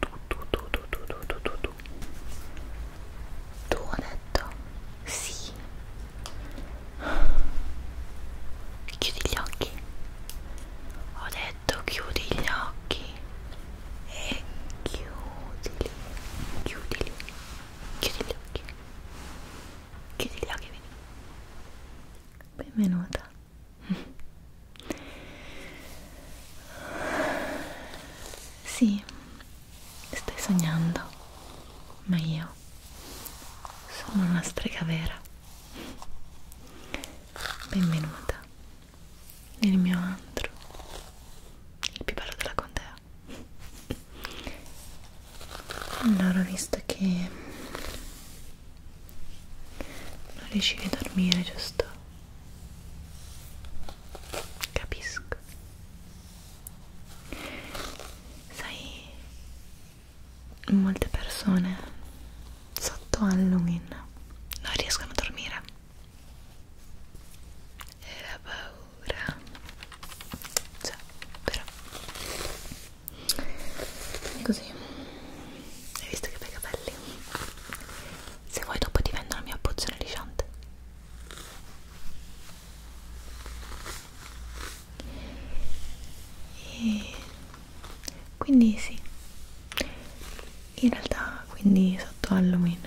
tu tu tu tu tu tu tu tu tu tu ho detto sì chiudi gli occhi ho detto chiudi gli occhi e chiudili chiudili chiudi gli occhi chiudi gli occhi vedi benvenuta sì, stai sognando, ma io sono una strega vera. Benvenuta nel mio antro, il più bello della contea. Allora, visto che non riuscivi a dormire giusto? capisco sai molte persone sotto Halloween non riescono a dormire e la paura cioè però è così hai visto che bei capelli? Se vuoi dopo ti vendo la mia pozione lisciante. E quindi sì. In realtà quindi sotto Halloween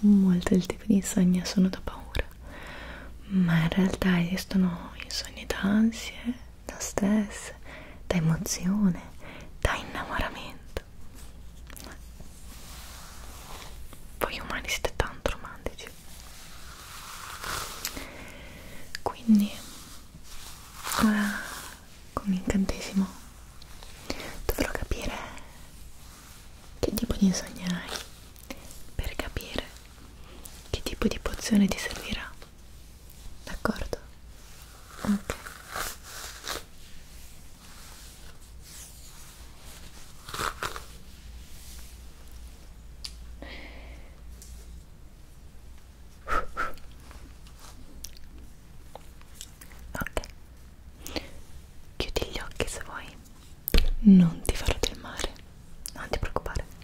molti del tipo di insonnia sono da paura. Ma in realtà esistono insonni d'ansie da stress, da emozione, da innamoramento. Voi umani siete tanto romantici. Quindi, ora con l'incantesimo dovrò capire che tipo di sogno hai per capire che tipo di pozione ti servirà d'accordo? ok ok chiudi gli occhi se vuoi non ti farò del male non ti preoccupare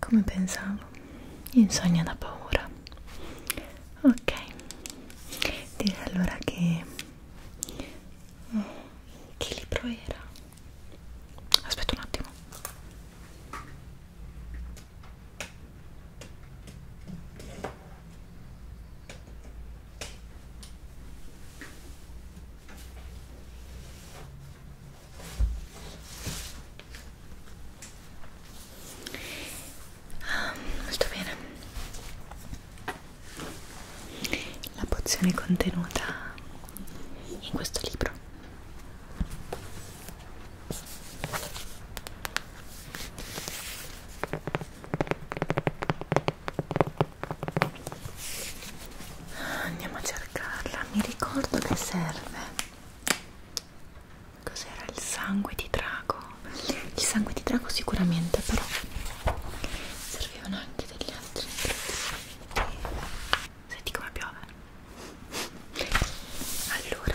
Come pensavo, insonnia da paura. Ok, direi allora che... Oh, che libro era? Aspetta un attimo. Ah, molto bene. La pozione contenuta in questo libro. Andiamo a cercarla, mi ricordo che serve. Cos'era il sangue di drago? Il sangue di drago sicuramente, però servivano anche degli altri. Senti come piove. Allora,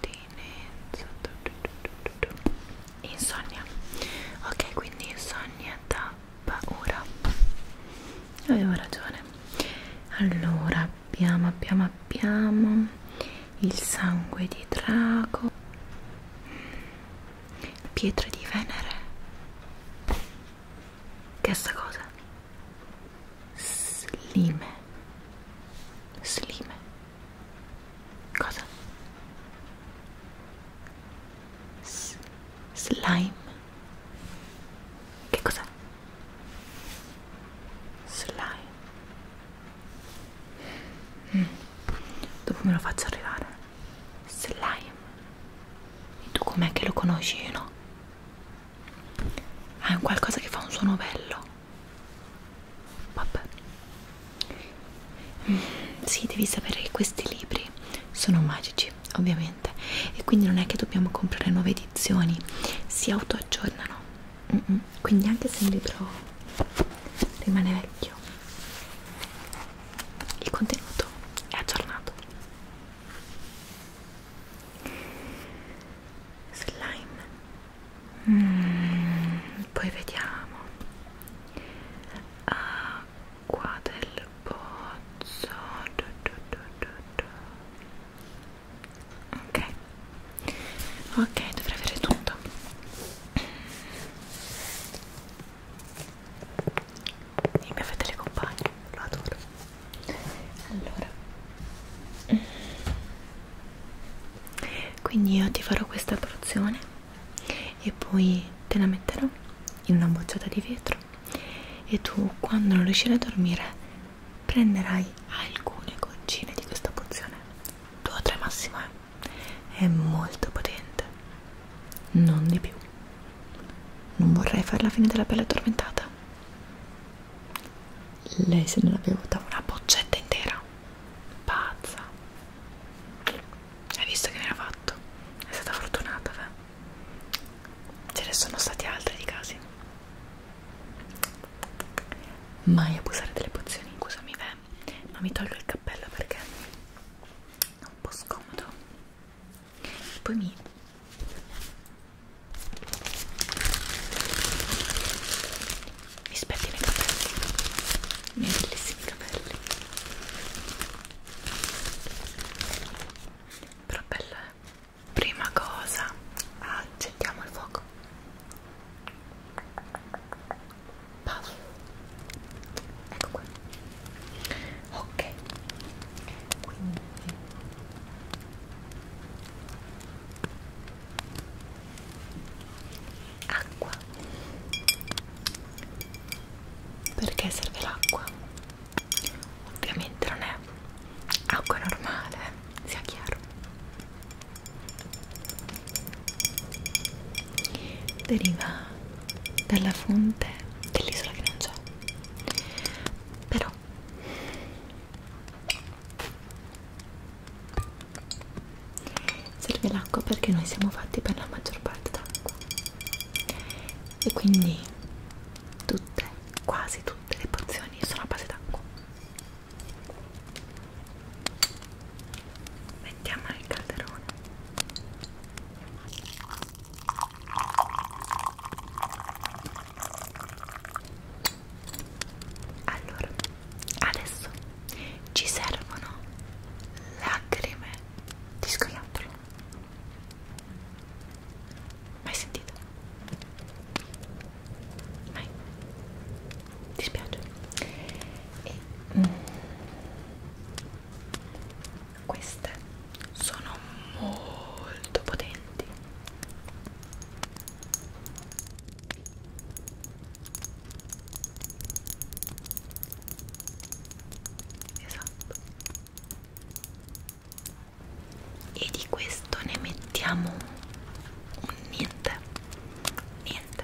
pertinenza insonnia ok quindi insonnia da paura avevo ragione allora abbiamo abbiamo abbiamo il sangue di drago mm. pietre di venere che è sta cosa slime slime cosa? S slime che cos'è? slime mm. dopo me lo faccio arrivare slime e tu com'è che lo conosci no? Ah, è un qualcosa che fa un suono bello. Vabbè. Mm, sì, devi sapere che questi libri sono magici, ovviamente. E quindi non è che dobbiamo comprare nuove edizioni, si autoaggiornano. Mm -mm. Quindi anche se un libro rimane vecchio, il contenuto è aggiornato slime mm, poi vediamo acqua ah, del pozzo du, du, du, du, du. ok ok dovrei avere tutto il mio fedele compagno lo adoro allora quindi io ti farò questa porzione e poi te la metterò in una bocciata di vetro e tu quando non riuscirai a dormire prenderai alcune goccine di questa pozione due o tre massimo eh? è molto potente non di più non vorrei farla finire della pelle addormentata lei se ne l'ha bevuta una boccetta intera pazza hai visto che ne ha fatto? è stata fortunata beh. ce ne sono stati altri di casi mai abusare delle pozioni scusami beh ma mi tolgo il cappello perché è un po' scomodo e poi mi mi specchio i miei capelli, i miei bellissimi capelli. Però bello eh? Prima cosa, accettiamo il fuoco. Puff. Ecco qua. Ok. Quindi Acqua. Perché serve l'acqua? Ovviamente non è acqua normale, eh, sia chiaro. Deriva dalla fonte dell'isola che non c'è. Però serve l'acqua perché noi siamo fatti per la maggior parte d'acqua e quindi tutte, quasi tutte le pozioni sono a base d'acqua mettiamo nel calderone allora, adesso ci servono lacrime di scoiattolo. Mai sentito? Mai? Ti spiace? E, mm, queste sono molto potenti esatto e di questo ne mettiamo un niente niente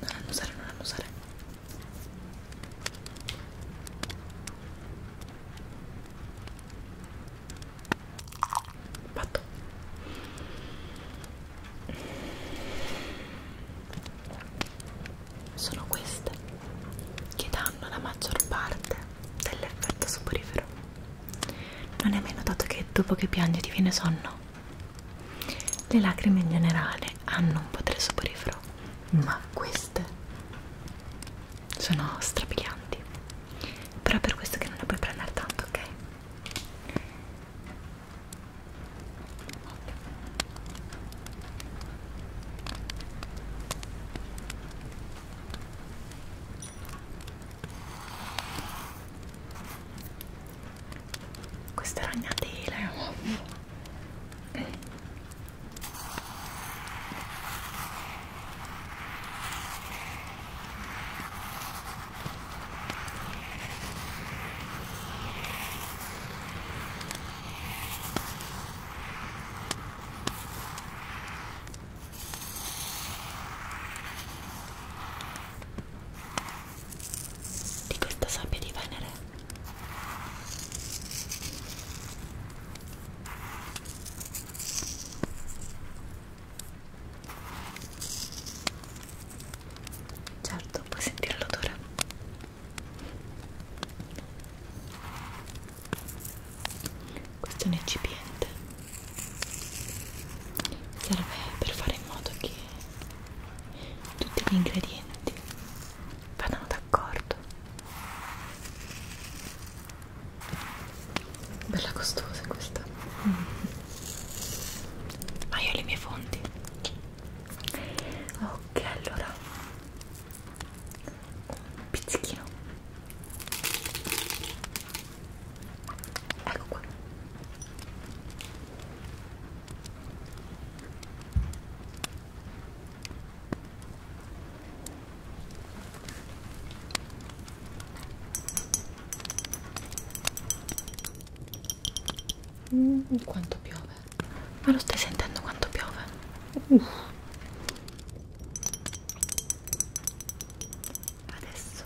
non annusare non annusare Fatto. Sono queste che danno la maggior parte dell'effetto soporifero. Non è mai notato che dopo che piangi ti viene sonno? Le lacrime in generale hanno un potere soporifero ma queste sono strabilianti però è per questo che non ne puoi prendere tanto ok questa ragnatela di questa sabbia di Venere Certo, puoi sentire l'odore. Questo è un eccipiente. Serve per fare in modo che tutti gli ingredienti vadano d'accordo d'accordo bella costosa questa mm. ma io ho le mie fonti ok allora un pizzichino ecco qua Mm, quanto piove? Ma lo stai sentendo quanto piove? Uff. Adesso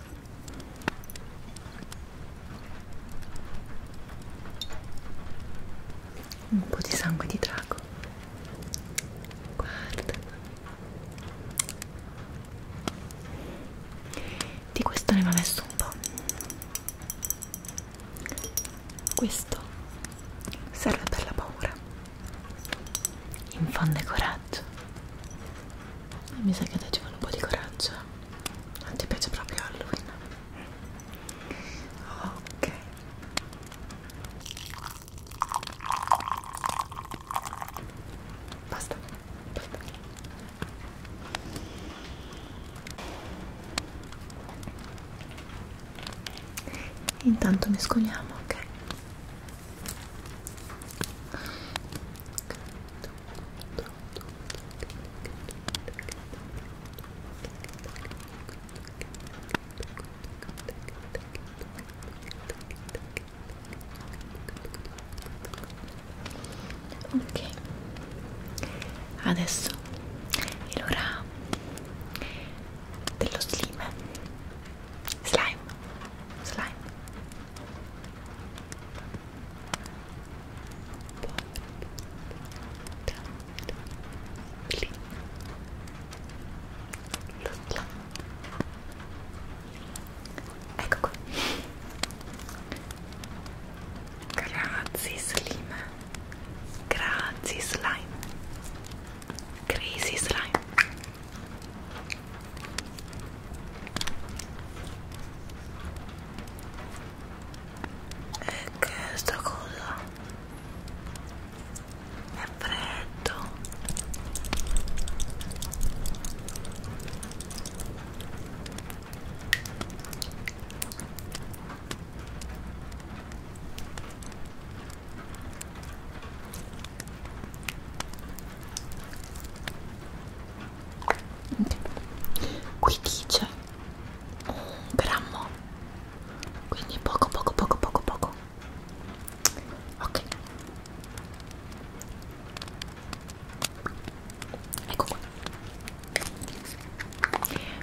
un po' di sangue di drago guarda di questo ne va messo un po' questo serve per la paura infonde coraggio e eh, mi sa che a te ci vuole un po' di coraggio non ti piace proprio Halloween ok basta, basta. intanto mescoliamo ok Okay ok adesso è l'ora dello slime slime slime Look, ecco grazie Slim grazie Slime crazy Slime e che sta cosa è freddo qui dice un grammo quindi poco poco poco poco poco ok ecco qua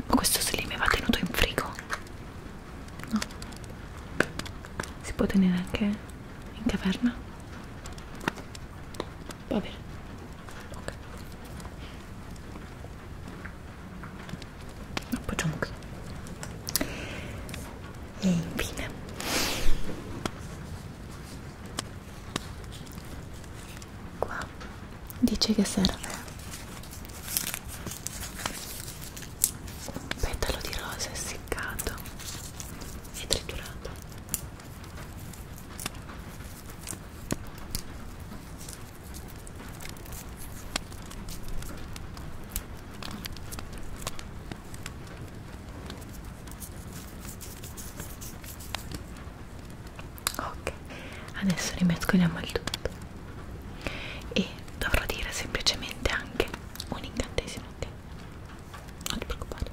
ma questo slime va tenuto in frigo no si può tenere anche in caverna va bene ok lo appoggiamo qui e infine qua dice che serve un petalo di rosa essiccato e triturato Ok, adesso rimescoliamo il tutto e dovrò dire semplicemente anche un incantesimo ok? Non ti preoccupare.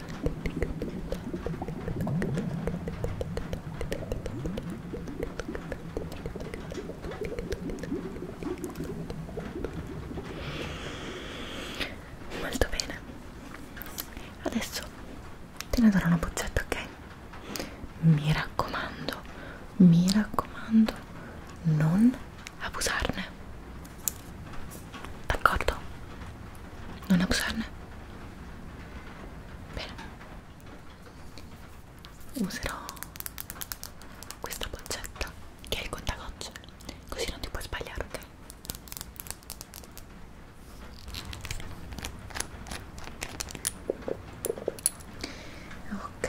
Molto bene. Adesso te ne darò una boccetta, ok? Mi raccomando, mi raccomando, non abusarne d'accordo? non abusarne? bene userò questa boccetta che è il contagocce così non ti puoi sbagliare, ok? ok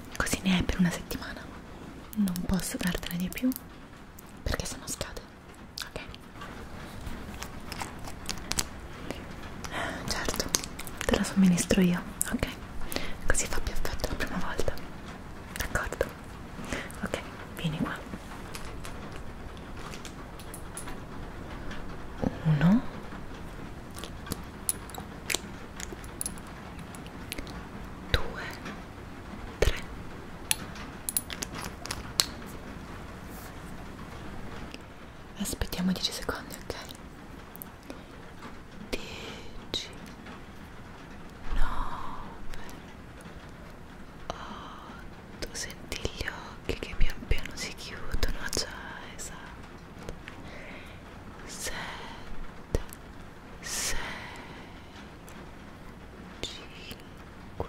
così ne hai per una settimana non posso dartene di più perché sono scade ok certo te la somministro io ok così fa più effetto la prima volta d'accordo ok vieni qua uno due, tre aspettiamo 10 secondi ok 10 9 8 senti gli occhi che pian piano si chiudono già esatto sette, sei, cinque,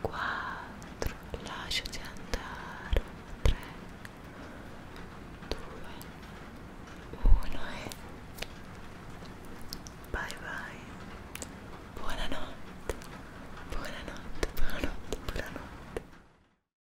quattro, lasciati andare, tre, due, uno e bye bye, buonanotte, buonanotte, buonanotte, buonanotte.